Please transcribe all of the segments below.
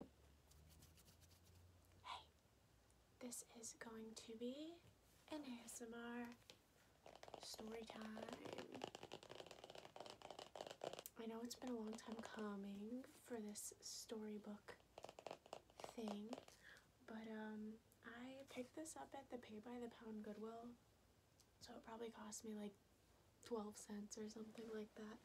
Hey, this is going to be an ASMR story time. I know it's been a long time coming for this storybook thing, but um, I picked this up at the Pay by the Pound Goodwill, so it probably cost me like 12 cents or something like that.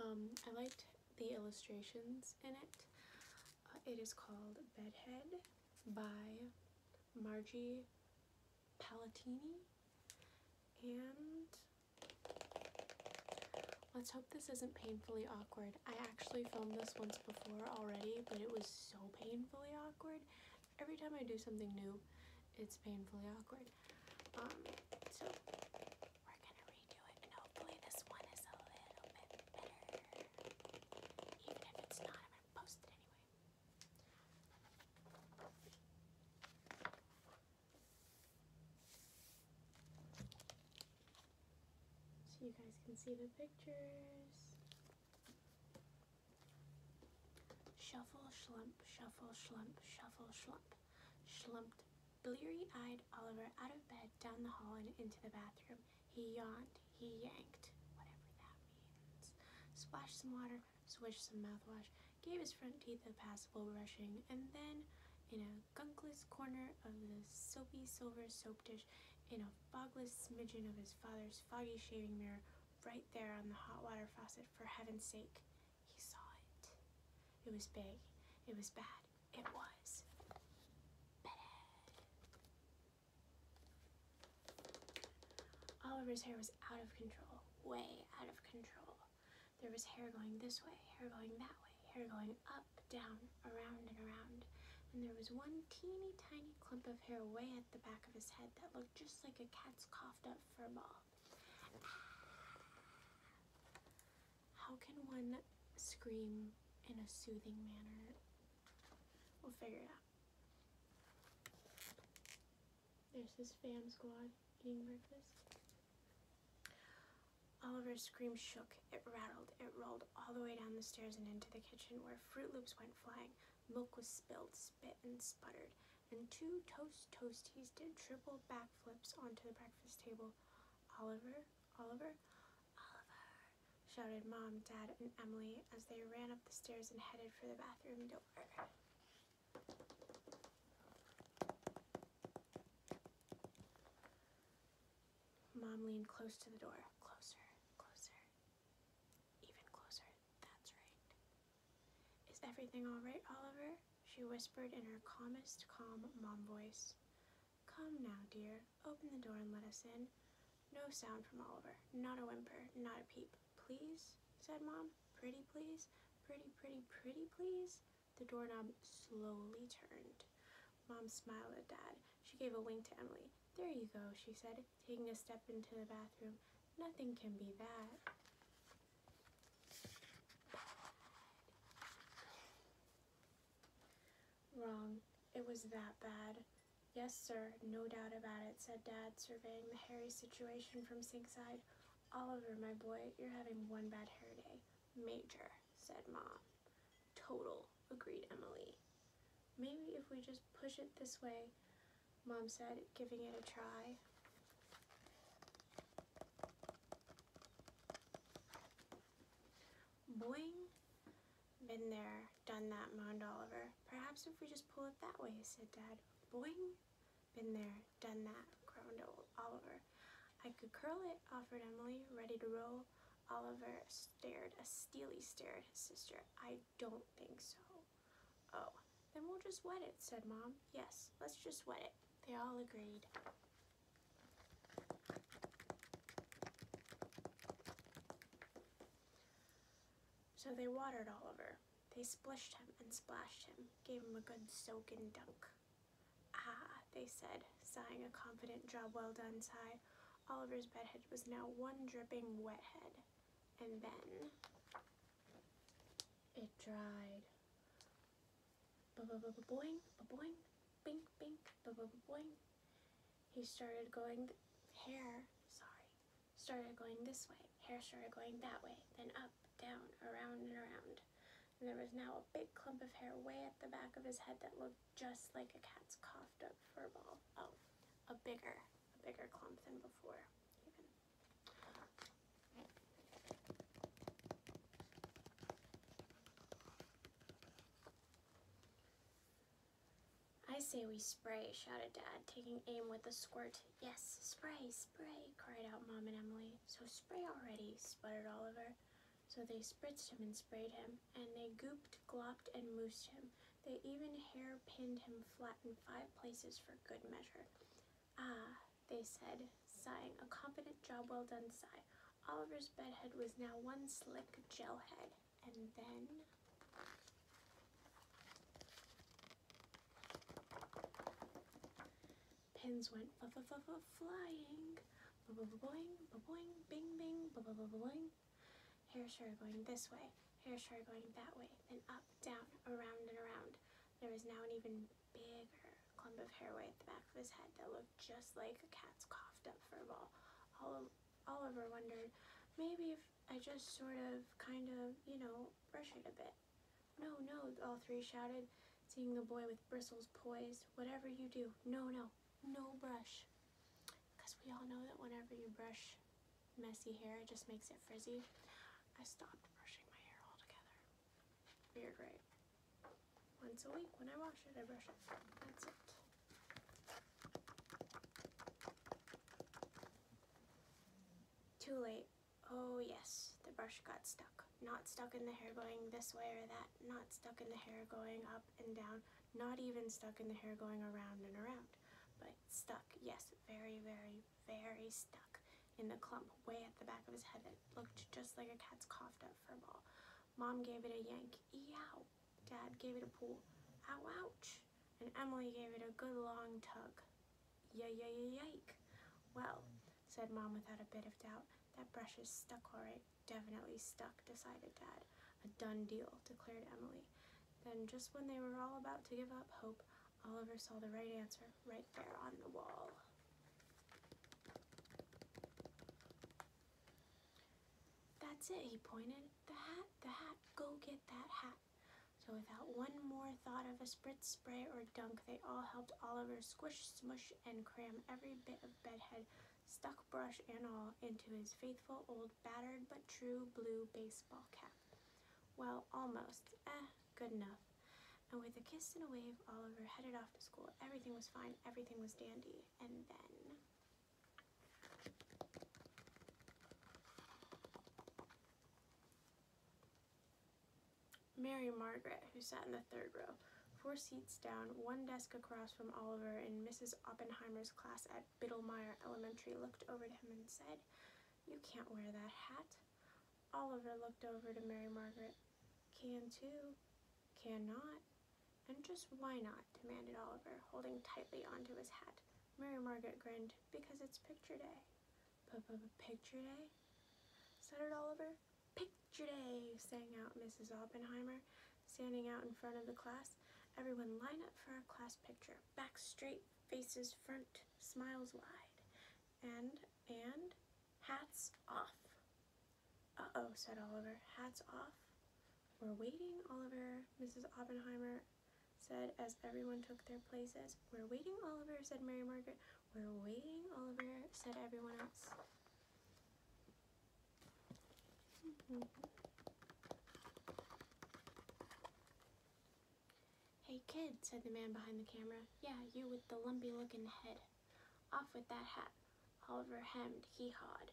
Um, I liked the illustrations in it. Uh, it is called Bedhead by Margie Palatini. And let's hope this isn't painfully awkward. I actually filmed this once before already, but it was so painfully awkward. Every time I do something new, it's painfully awkward. Um, so we're gonna redo it and hopefully this one is a little bit better. Even if it's not, I'm gonna post it anyway. So you guys can see the pictures. Shuffle, slump, shuffle, slump, shuffle, slump. Slumped, bleary-eyed Oliver out of bed, down the hall, and into the bathroom. He yawned. He yanked. Whatever that means. Splashed some water, swished some mouthwash, gave his front teeth a passable brushing, and then, in a gunkless corner of the soapy silver soap dish, in a fogless smidgen of his father's foggy shaving mirror, right there on the hot water faucet, for heaven's sake, he saw it. It was big. It was bad. It was bad. Oliver's hair was out of control, way out of control. There was hair going this way, hair going that way, hair going up, down, around, and around. And there was one teeny tiny clump of hair way at the back of his head that looked just like a cat's coughed up fur ball. How can one scream in a soothing manner? We'll figure it out. There's his fam squad eating breakfast. Oliver's scream shook, it rattled, it rolled all the way down the stairs and into the kitchen where Fruit Loops went flying. Milk was spilled, spit, and sputtered and two toast toasties did triple backflips onto the breakfast table. Oliver, Oliver, Oliver, shouted Mom, Dad, and Emily as they ran up the stairs and headed for the bathroom door. Mom leaned close to the door, closer, closer, even closer. That's right. Is everything all right, Oliver? she whispered in her calmest, calm mom voice. Come now, dear. Open the door and let us in. No sound from Oliver. Not a whimper. Not a peep. Please? said Mom. Pretty please? Pretty, pretty, pretty please? The doorknob slowly turned. Mom smiled at Dad. She gave a wink to Emily. There you go, she said, taking a step into the bathroom. Nothing can be that. Wrong. It was that bad. Yes, sir, no doubt about it, said Dad, surveying the hairy situation from Sinkside. Oliver, my boy, you're having one bad hair day. Major, said Mom. Total, agreed Emily. Maybe if we just push it this way, mom said, giving it a try. Boing! Been there, done that, moaned Oliver. Perhaps if we just pull it that way, said Dad. Boing! Been there, done that, groaned Oliver. I could curl it, offered Emily, ready to roll. Oliver stared, a steely stare at his sister. I don't think so. Oh, then we'll just wet it, said Mom. Yes, let's just wet it. They all agreed. So they watered Oliver. They splished him and splashed him, gave him a good soak and dunk. Ah, they said, sighing a confident job well done sigh. Oliver's bedhead was now one dripping wet head. And then it dried. boing, boing, bink bink, boing. He started going, hair, sorry, started going this way. Hair started going that way, then up, down, around and around. And there was now a big clump of hair way at the back of his head that looked just like a cat's coughed up fur ball. Oh, a bigger, a bigger clump than before. I say we spray, shouted Dad, taking aim with a squirt. Yes, spray, spray, cried out Mom and Emily. So spray already, sputtered Oliver. So they spritzed him and sprayed him, and they gooped, glopped, and moosed him. They even hairpinned him flat in five places for good measure. Ah, they said, sighing, a competent job well done sigh. Oliver's bedhead was now one slick gel head. And then... Pins went f -f -f flying. boing boing bing-bing, boing Hair sure going this way, hair sure going that way, then up, down, around and around. There was now an even bigger clump of hair way at the back of his head that looked just like a cat's coughed up fur ball. Oliver wondered, maybe if I just sort of, kind of, you know, brush it a bit. No, no, all three shouted, seeing the boy with bristles poised. Whatever you do, no, no, no brush. Because we all know that whenever you brush messy hair. just makes it frizzy. I stopped brushing my hair altogether. Weird, right? Once a week when I wash it, I brush it. That's it. Too late. Oh yes, the brush got stuck. Not stuck in the hair going this way or that. Not stuck in the hair going up and down. Not even stuck in the hair going around and around, but stuck. Yes, very, very, very stuck in the clump way at the back of his head It looked just like a cat's coughed up fur ball. Mom gave it a yank. Eow. Dad gave it a pull. Ow, ouch. And Emily gave it a good long tug. Yeah, yeah, yeah, yike. Well, said Mom without a bit of doubt, that brush is stuck all right. Definitely stuck, decided Dad. A done deal, declared Emily. Then, just when they were all about to give up hope, Oliver saw the right answer right there on the wall. That's it, he pointed. The hat, the hat, go get that hat. So without one more thought of a spritz, spray, or dunk, they all helped Oliver squish, smush, and cram every bit of bedhead, stuck brush and all, into his faithful old battered but true blue baseball cap. Well, almost. Eh, good enough. And with a kiss and a wave, Oliver headed off to school. Everything was fine. Everything was dandy. And then... Mary Margaret, who sat in the third row, four seats down, one desk across from Oliver in Mrs. Oppenheimer's class at Biddlemeyer Elementary looked over at him and said, You can't wear that hat. Oliver looked over to Mary Margaret. Can too. Can not. And just why not? demanded Oliver, holding tightly onto his hat. Mary Margaret grinned. Because it's picture day. picture day? stuttered Oliver. Picture day, sang out Mrs. Oppenheimer standing out in front of the class. Everyone line up for our class picture. Back straight, faces front, smiles wide. And, and, hats off. Uh-oh, said Oliver. Hats off. We're waiting, Oliver, Mrs. Oppenheimer said as everyone took their places. We're waiting, Oliver, said Mary Margaret. We're waiting, Oliver, said everyone else. Hey kid, said the man behind the camera. Yeah, you with the lumpy looking head. Off with that hat. Oliver hemmed, he hawed,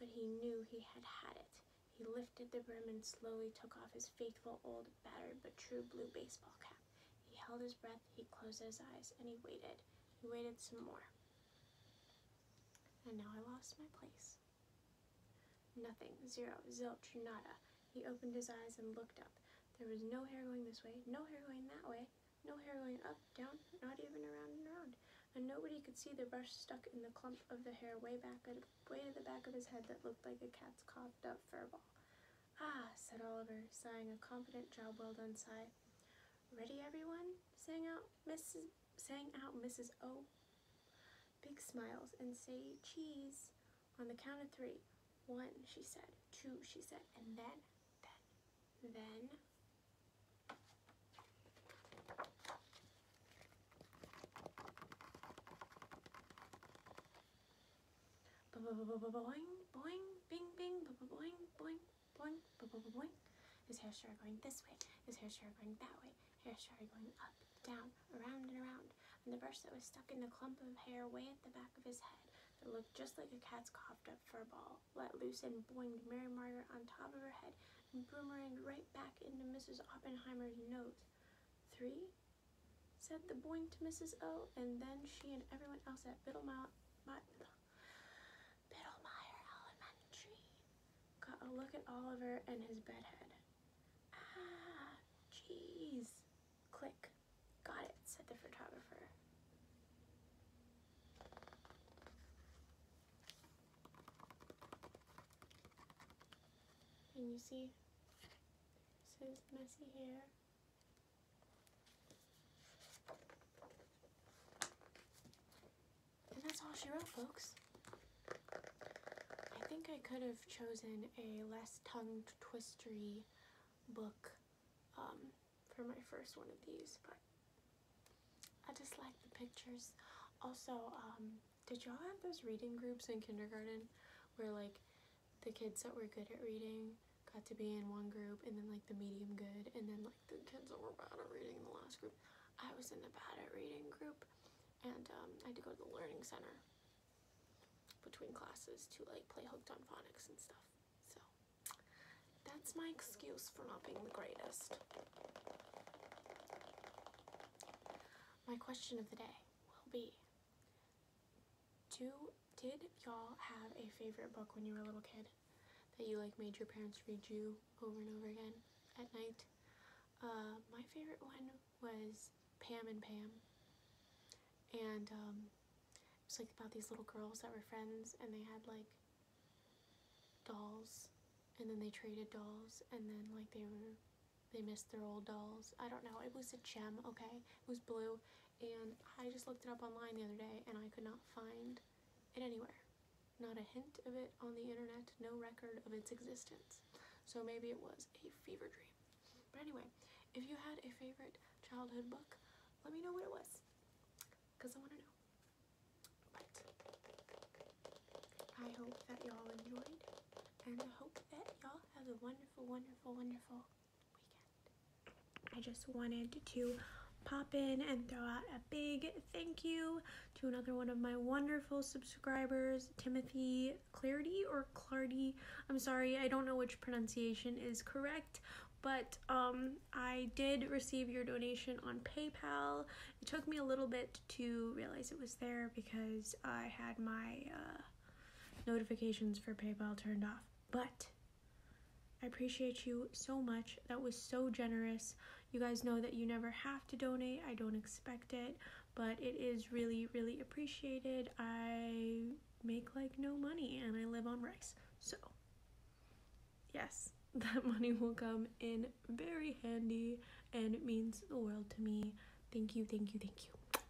but he knew he had had it. He lifted the brim and slowly took off his faithful old battered but true blue baseball cap. He held his breath, he closed his eyes, and he waited. He waited some more. And now I lost my place. Nothing, zero, zilch, nada. He opened his eyes and looked up. There was no hair going this way, no hair going that way, no hair going up, down, not even around and around. And nobody could see the brush stuck in the clump of the hair way back at at the back of his head that looked like a cat's coughed up fur ball. Ah, said Oliver, sighing a confident job well done sigh. Ready, everyone? Sang out Mrs. Sang out Mrs. O. Big smiles and say cheese on the count of three. One, she said. Two, she said. And then, then, then. Boing, boing, bing, bing, boing, boing boing, boing, boing, boing. His hair started going this way. His hair started going that way. Hair started going up, down, around and around. And the brush that was stuck in the clump of hair way at the back of his head that looked just like a cat's coughed up fur ball let loose and boinged Mary Margaret on top of her head and boomeranged right back into Mrs. Oppenheimer's nose. Three? said the boing to Mrs. O, and then she and everyone else at Biddle Mount, Biddlemeyer Elementary. Got a look at Oliver and his bedhead. Ah, jeez. Click. Got it, said the photographer. And you see, this messy hair. And that's all she wrote, folks. I think I could have chosen a less tongue twistery book um, for my first one of these, but I just like the pictures. Also, um, did y'all have those reading groups in kindergarten where like the kids that were good at reading got to be in one group and then like the medium good and then like the kids that were bad at reading in the last group i was in the bad at reading group and um, i had to go to the learning center between classes to like play hooked on phonics and stuff so that's my excuse for not being the greatest my question of the day will be do did y'all have a favorite book when you were a little kid that you like made your parents read you over and over again at night? Uh, my favorite one was Pam and Pam. And um, it was like about these little girls that were friends and they had like dolls and then they traded dolls and then like they were they missed their old dolls. I don't know. It was a gem, okay? It was blue and I just looked it up online the other day and I could not find it anywhere. Not a hint of it on the internet, no record of its existence. So maybe it was a fever dream. But anyway, if you had a favorite childhood book, let me know what it was because I want to know. I hope that y'all enjoyed and I hope that y'all have a wonderful, wonderful, wonderful I just wanted to pop in and throw out a big thank you to another one of my wonderful subscribers, Timothy Clardy or Clardy. I'm sorry, I don't know which pronunciation is correct, but um, I did receive your donation on PayPal. It took me a little bit to realize it was there because I had my uh, notifications for PayPal turned off. But I appreciate you so much. That was so generous. You guys know that you never have to donate, I don't expect it, but it is really, really appreciated. I make like no money and I live on rice. So, yes, that money will come in very handy and it means the world to me. Thank you, thank you, thank you.